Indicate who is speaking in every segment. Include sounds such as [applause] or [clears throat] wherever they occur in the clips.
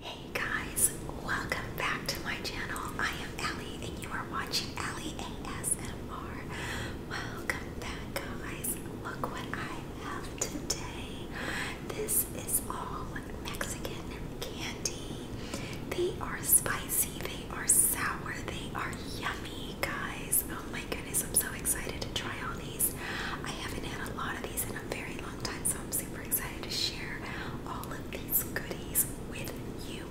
Speaker 1: Hey guys, welcome back to my channel. I am Allie and you are watching Allie ASMR. Welcome back guys. Look what I have today. This is all Mexican candy. They are spicy, they are sour, they are yummy guys. Oh my goodness, I'm so excited to try all these. I haven't had a lot of these in a very long so I'm super excited to share all of these goodies with you.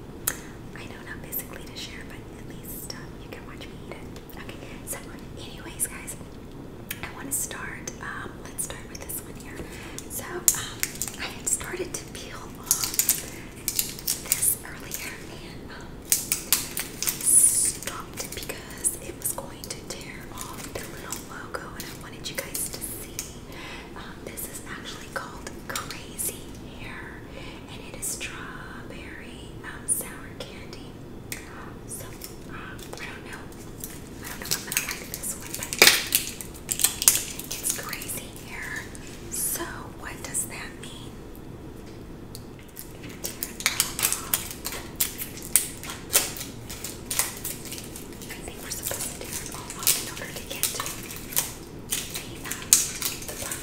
Speaker 1: I know not basically to share, but at least um, you can watch me eat it. Okay, so anyways, guys, I want to start. Um, let's start with this one here. So um, I had started to peel off this earlier and um, stopped because it was going to tear off the little logo, and I wanted you guys to see. Um, this is actually called Crazy Hair, and it is strawberry um, sour candy. So um, I don't know. I don't know if I'm gonna like this one, but it's Crazy Hair. So what does that mean? I think we're supposed to do it all off in order to get to the, the part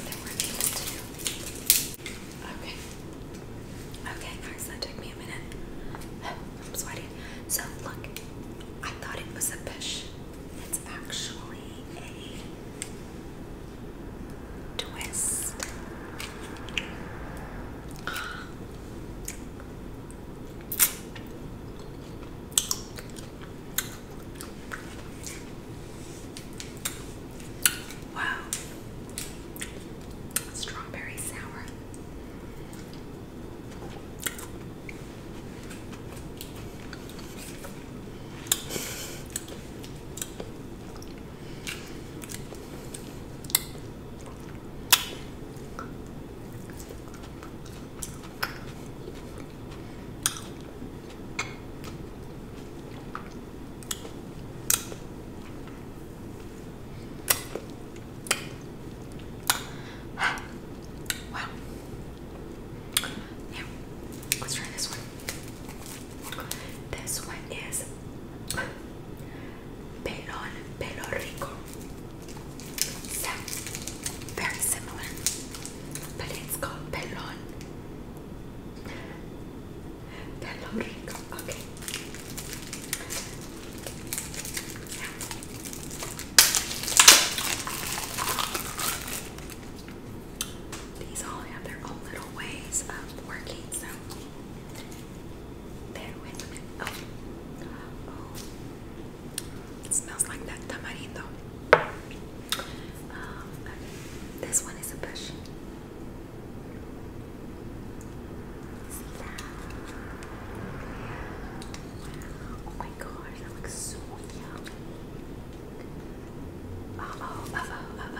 Speaker 1: that we're able to do. Okay. Okay, guys, that took me a minute. [sighs] I'm sweating. So, look, I thought it was a fish. It's actually a twist. [gasps] Wow. Strawberry sour. Wow. Now, let's try this one. This one is Pelon Pelo Rico. very similar, but it's called Pelon Pelo Rico. Okay. these all have their own little ways of working, Bear with me. Oh. oh. smells like that tamarindo. Um, this one is a passion. Oh my gosh, that looks so yummy. Uh oh, uh oh, oh.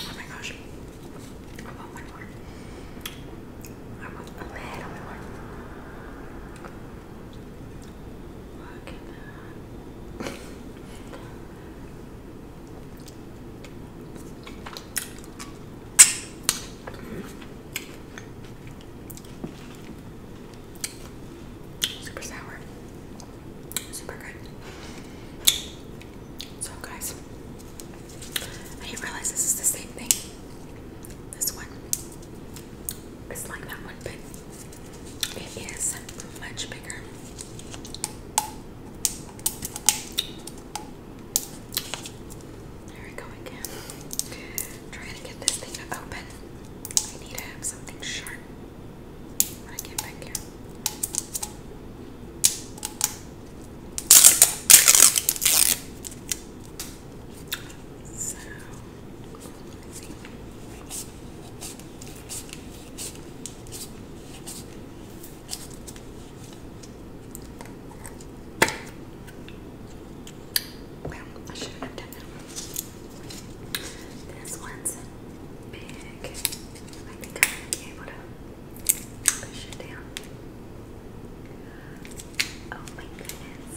Speaker 1: Oh my gosh. I want one more. I want a little bit more. Look at that. Super sour. Super good. So, guys, I didn't realize this is the same thing. This one is like that one, but it is much bigger. There we go again. Trying to get this thing to open. I need to have something sharp I get back here. So, well, I shouldn't have done that This one's big. I'm gonna be able to push it down. Oh my goodness.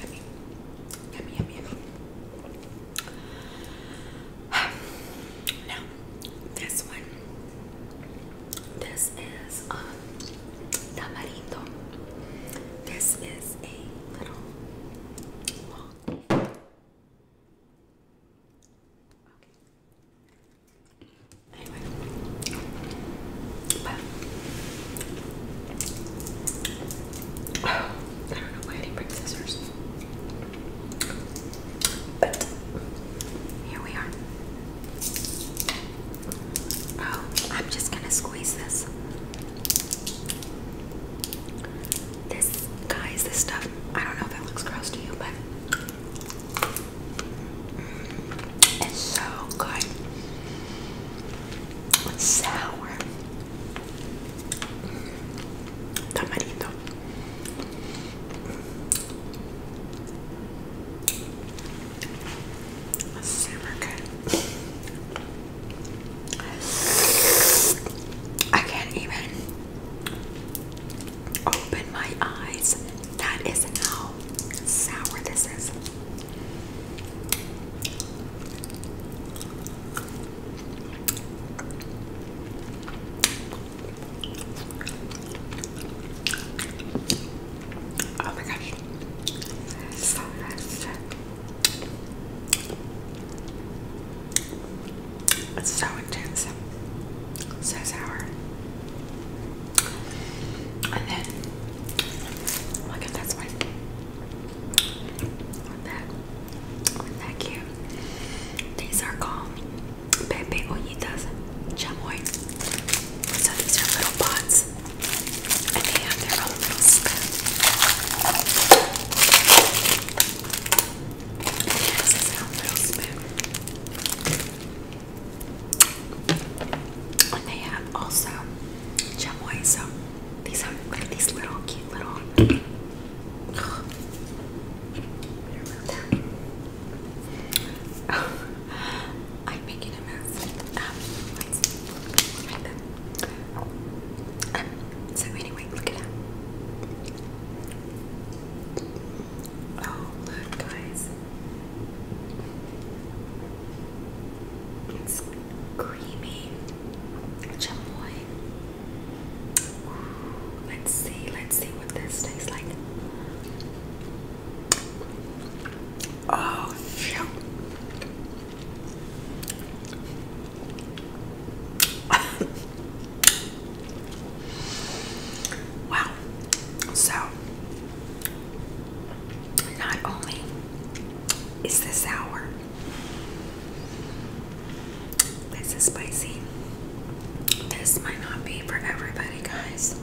Speaker 1: Yummy, yummy, yummy, yummy. [sighs] Now, this one. This is um, tamarindo. This is a little I don't know why I did scissors. But here we are. Oh, I'm just gonna squeeze this. This, guys, this stuff, I don't know if it looks gross to you, but it's so good. It's sour. Tamarito. Super good. I can't even open my eyes. That is how sour this is. Oh my gosh. So it's so intense, so sour. And then look at this one. Isn't that, isn't that cute? These are called Pepe Ollitas Chamoy. So these are little pots and they have their own little spoon. And they have also chamoy. So these are these little cute little. [clears throat] [laughs] Oh, I'm making a mess. Um, um, so anyway, look at that. Oh look, guys, it's creamy chamoy. let's see, let's see what this tastes like. Oh, phew wow. So, not only is this sour, this is spicy. This might not be for everybody, guys.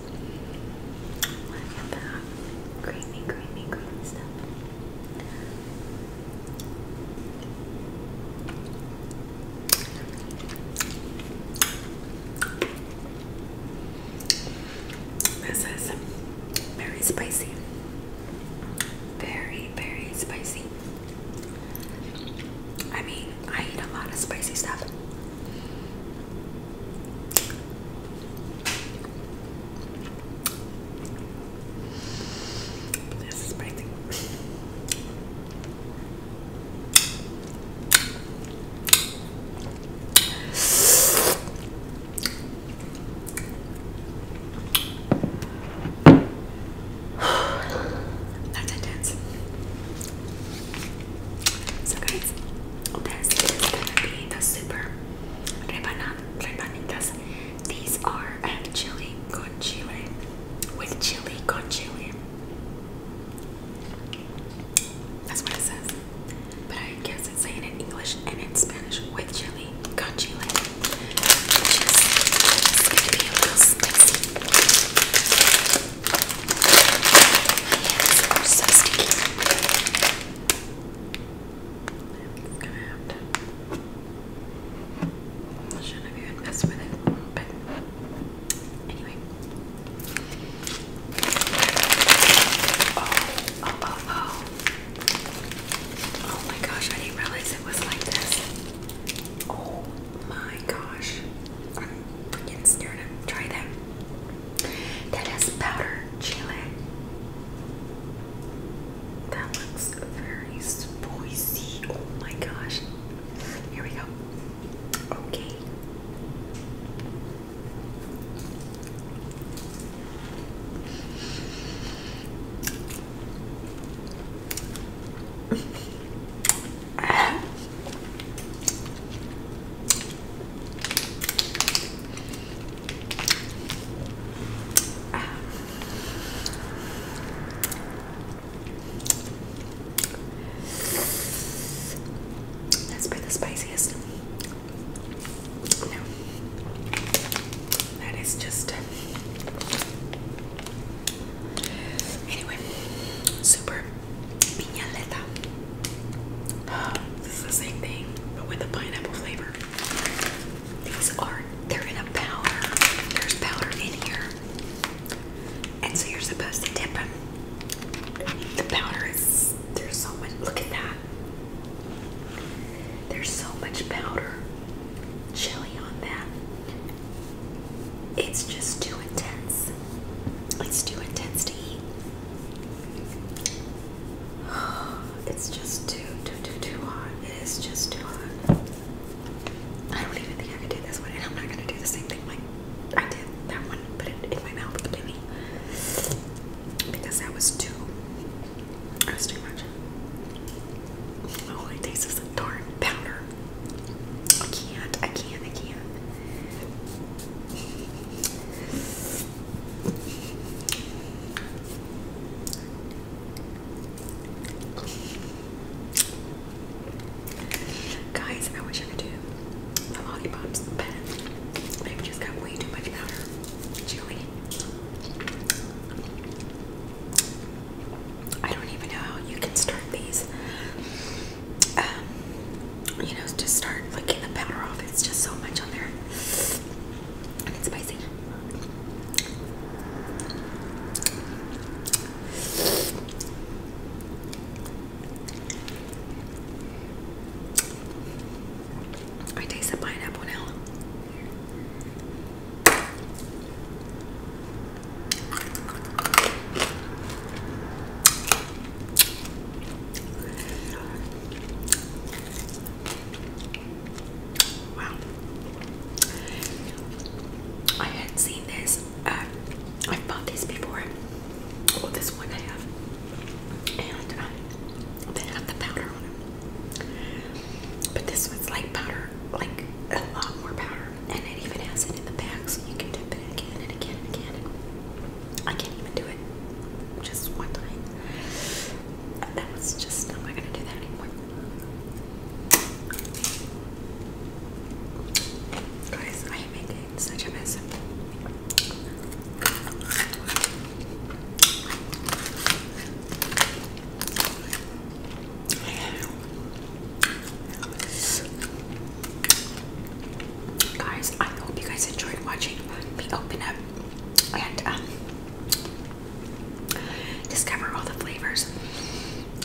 Speaker 1: Look at that creamy, creamy, creamy stuff. This is very spicy. Very, very spicy. I mean, I eat a lot of spicy stuff. That's intense. So guys, this is gonna be the super rebanada. These are um, chili con chile, with chili con chile. That's what it says. But I guess it's saying in English and in Spanish with chili con chile. Which is spicy. My hands so sticky. It's gonna have to. shouldn't have even messed with it, but anyway. Oh, oh, oh, oh. my gosh, I didn't realize it was like this. Oh my gosh. I'm to try that. That has powder chili. That looks very spicy. Oh my gosh. Here we go. Okay. [laughs] Um, that's by the spiciest. No. That is just. Anyway, super this is the same thing, but with a pineapple flavor. These are, they're in a powder. There's powder in here. And so you're supposed to dip them. The powder is, there's so much, look at that. There's so much powder chili on that. It's just too intense. It's too intense to eat. [sighs] It's just too, too, too, too hot. It is just too hot. I don't even think I could do this one, and I'm not gonna do the same thing like I did that one, put it in my mouth completely. Because that was too that was too much. Oh, it tastes is a darn powder. I can't, I can't, I can't. Guys, I wish I could do the lollipops, but they just got way too much powder. Chili. I don't even know how you can start these. Um, you know, just start licking the powder off. It's just so much on there. And it's spicy. I taste the pineapple now. Wow. I hadn't seen this. Um, I've bought these before. Well, oh, this one I have. And um, they have the powder But this one's like powder, like a lot more powder. And it even has it in the back so you can dip it again and again and again. I can't even do it just one time. That was just, am not gonna do that anymore. Guys, I am making such a mess. Guys, I hope you guys enjoyed watching me open up and um, discover all the flavors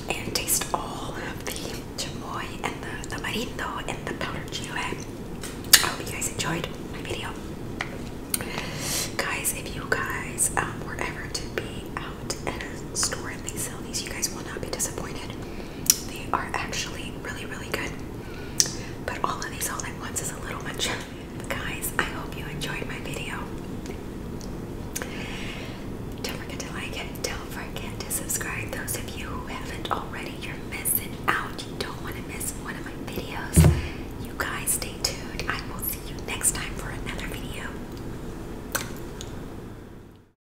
Speaker 1: and taste all of the chamoy and the tamarindo and the powdered chile. I hope you guys enjoyed my video. Guys, if you guys um, were ever to be out at a store and they sell these, you guys will not be disappointed. They are actually really, really good. But all of these all at once is a little much. Guys, I hope you enjoyed my video. Don't forget to like it. Don't forget to subscribe. Those of you who haven't already, you're missing out. You don't want to miss one of my videos. You guys stay tuned. I will see you next time for another video.